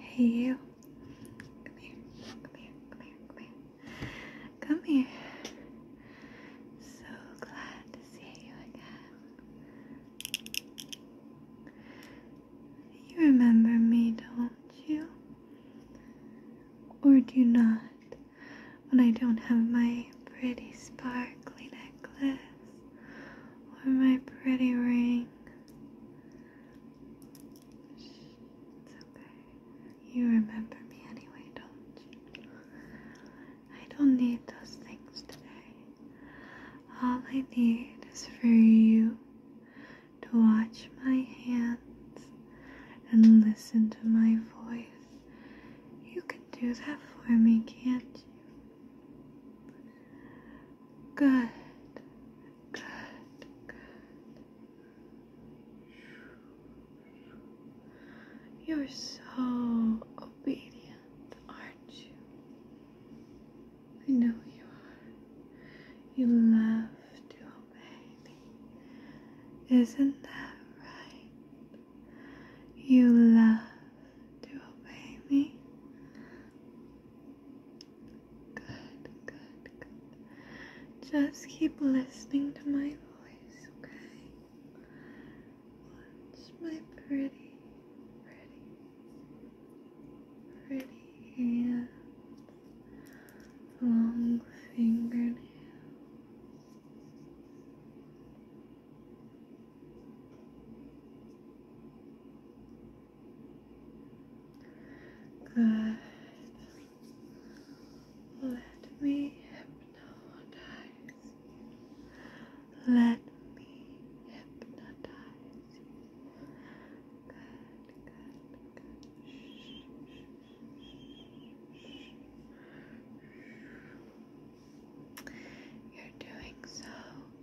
Hey you. Come here. Come here. Come here. Come here. So glad to see you again. You remember me, don't you? Or do not? When I don't have my pretty sparkly necklace or my pretty ring. It's okay. You remember me anyway, don't you? I don't need those things today. All I need is for you to watch my hands and listen to my voice. You can do that for me, can't you? Good. Good, You're so obedient, aren't you? I know you are. You love to obey me. Isn't that right? You love to obey me. Good, good, good. Just keep listening to my voice, okay? Watch my pretty, pretty, pretty hands, long fingernails. Good, Good. Let me hypnotize. Let me hypnotize. Good, good, good. You're doing so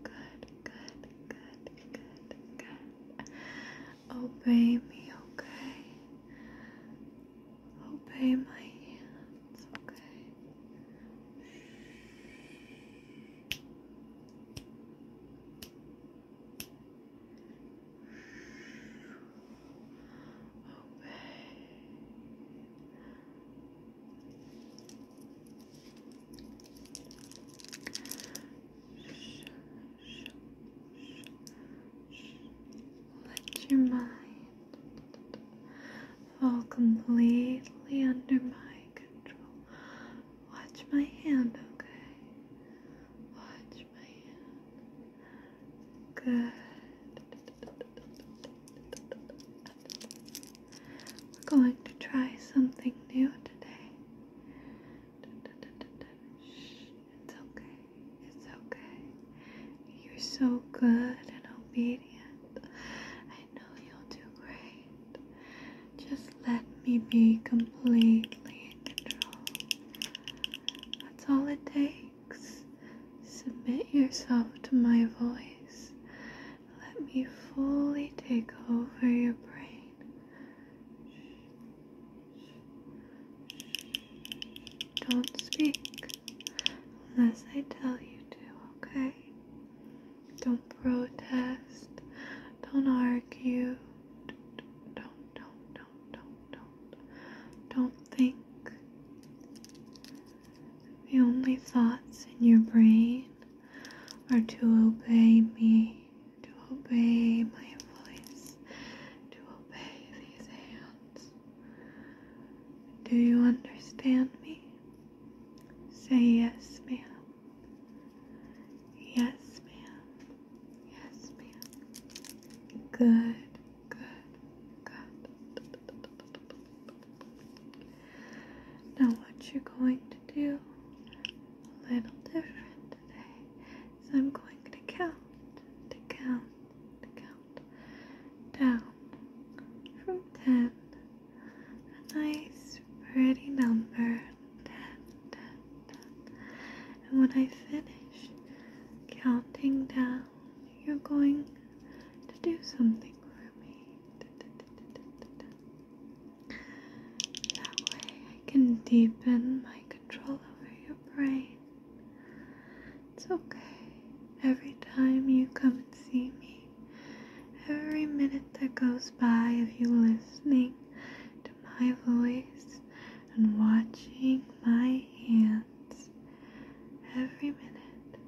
good good, good, good, good. Obey me, okay? Obey my hands, okay? Obey. Let your mind fall completely under my control. Watch my hand, okay? Watch my hand. Good. We're going to try something new today. It's okay. It's okay. You're so good and obedient. I know you'll do great. Just let me be completely in control. That's all it takes. Submit yourself to my voice let me fully take over your brain. Don't speak unless I tell you to, okay? Don't protest. Don't argue. Don't, don't, don't, don't, don't. Don't think. The only thoughts in your brain or to obey me, to obey my voice, to obey these hands. Do you understand me? Say yes, ma'am. Yes, ma'am. Yes, ma'am. Good, good, good. Now, what you're going to do a little different today is I'm going to count, count, count down from 10. A nice, pretty number 10, And when I finish counting down, you're going to do something. Little Mermaid. That way I can deepen my control over your brain. It's okay. Every time you come and see me, every minute that goes by of you listening to my voice and watching my hands, every minute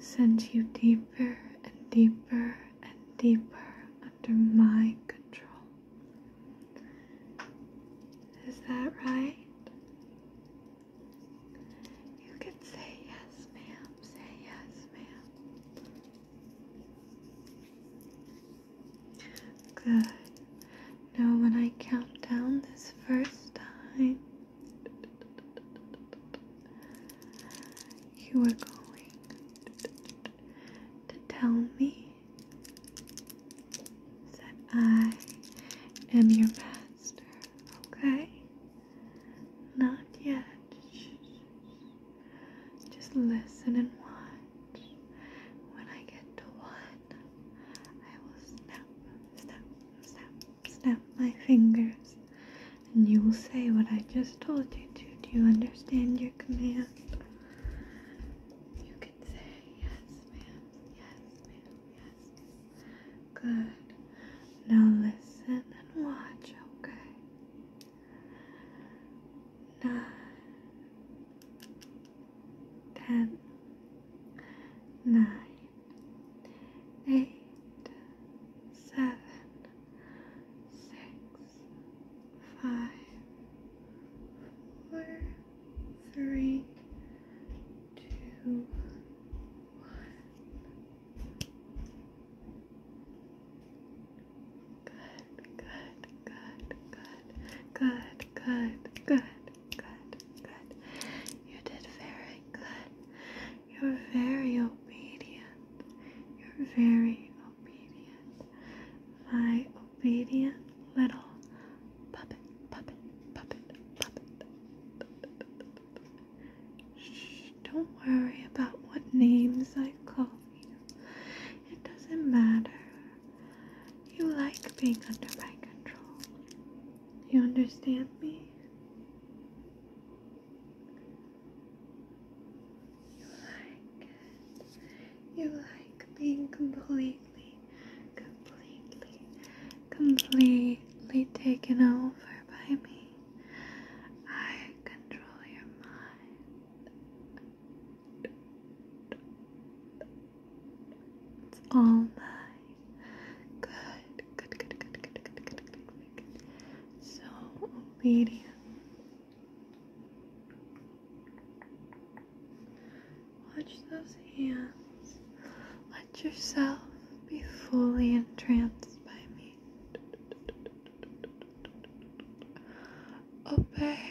sends you deeper deeper and deeper and deeper under my control. Is that right? You can say yes, ma'am. Say yes, ma'am. Good. Now, when I count down this first time, you are going to tell me that I am your master, okay? Not yet. Just listen and watch. When I get to one, I will snap, snap, snap, snap my fingers, and you will say what I just told you to. Do you understand your command? You can say, Yes, ma'am, yes, ma'am, yes. Good. Now listen and watch, okay? Nine, ten, nine eight, seven, six, five, four, three, two, one. Good, good, good, good, good, good, good good, good. You did very good. You're very obedient. You're very obedient. My obedient little puppet, puppet, puppet, puppet. Shh, don't worry about what names I call you. It doesn't matter. You like being under my control. You understand me? You like You like being completely, completely, completely taken over by me. I control your mind. It's all mine. Good, good, good, good, good, good, good, good, So obedient. Watch those hands. Let yourself be fully entranced by me. Obey,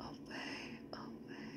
obey, obey.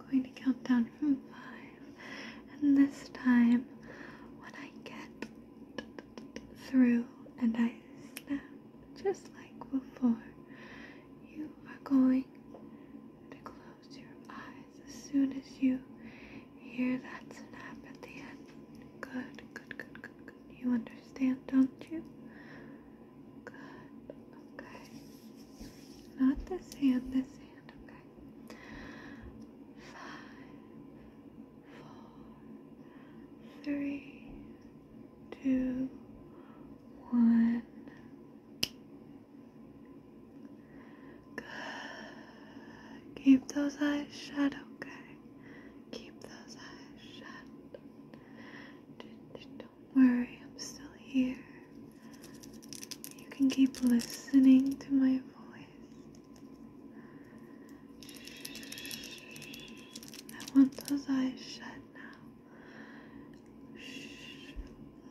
I'm going to count down from five, and this time, when I get through and I snap just like before, you are going to close your eyes as soon as you hear that snap at the end. Good, good, good, good, good. You understand, don't you? Good, okay. Not this hand, this hand. Five, four, three, two, one. Good. Keep those eyes shut, okay? Keep those eyes shut worry, I'm still here. You can keep listening to my voice. I want those eyes shut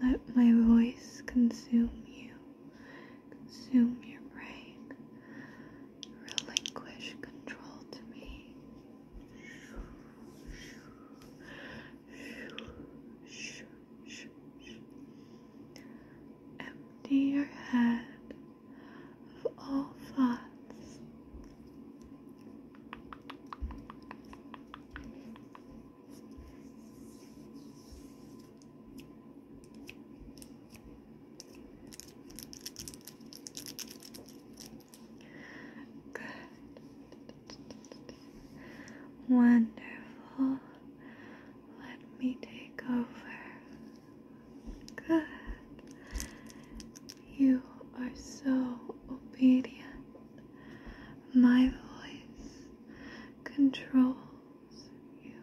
now. Let my voice consume you, consume your brain, relinquish control to me. Empty your head of all thoughts. Good. Wonderful. Let me take over. Good. You are so obedient. My voice controls you.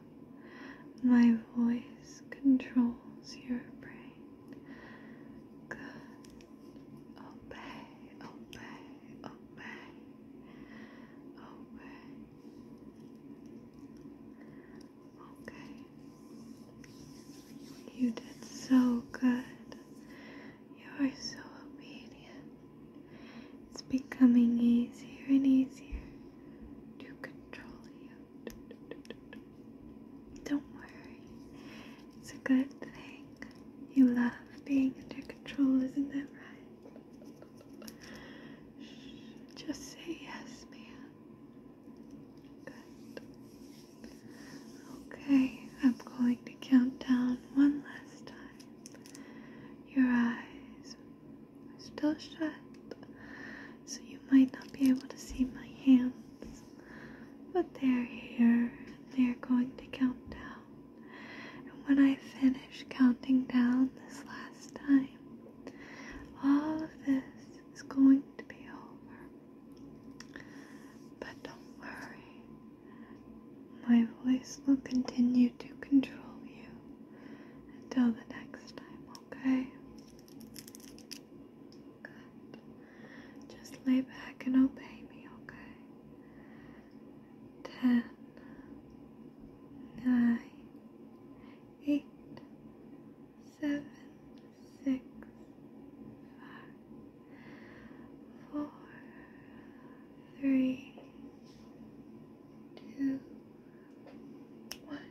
My voice controls your brain. Good obey, obey, obey, obey. Okay, you did so good. You are so obedient. It's becoming easier and easier to control you. Don't worry, it's a good thing. You love being under control, isn't that right? just say yes, man. Good. Okay, I'm going to count down one last time. Your eyes are still shut, so you might not be able to see my hands. But they're here, they're going to count down. And when I finish counting down this last time, all of this is going to be over. But don't worry, my voice will continue to control you until the next time, okay? Just lay back and obey me, okay? Ten, nine, eight, seven, six, five, four, three, two, one.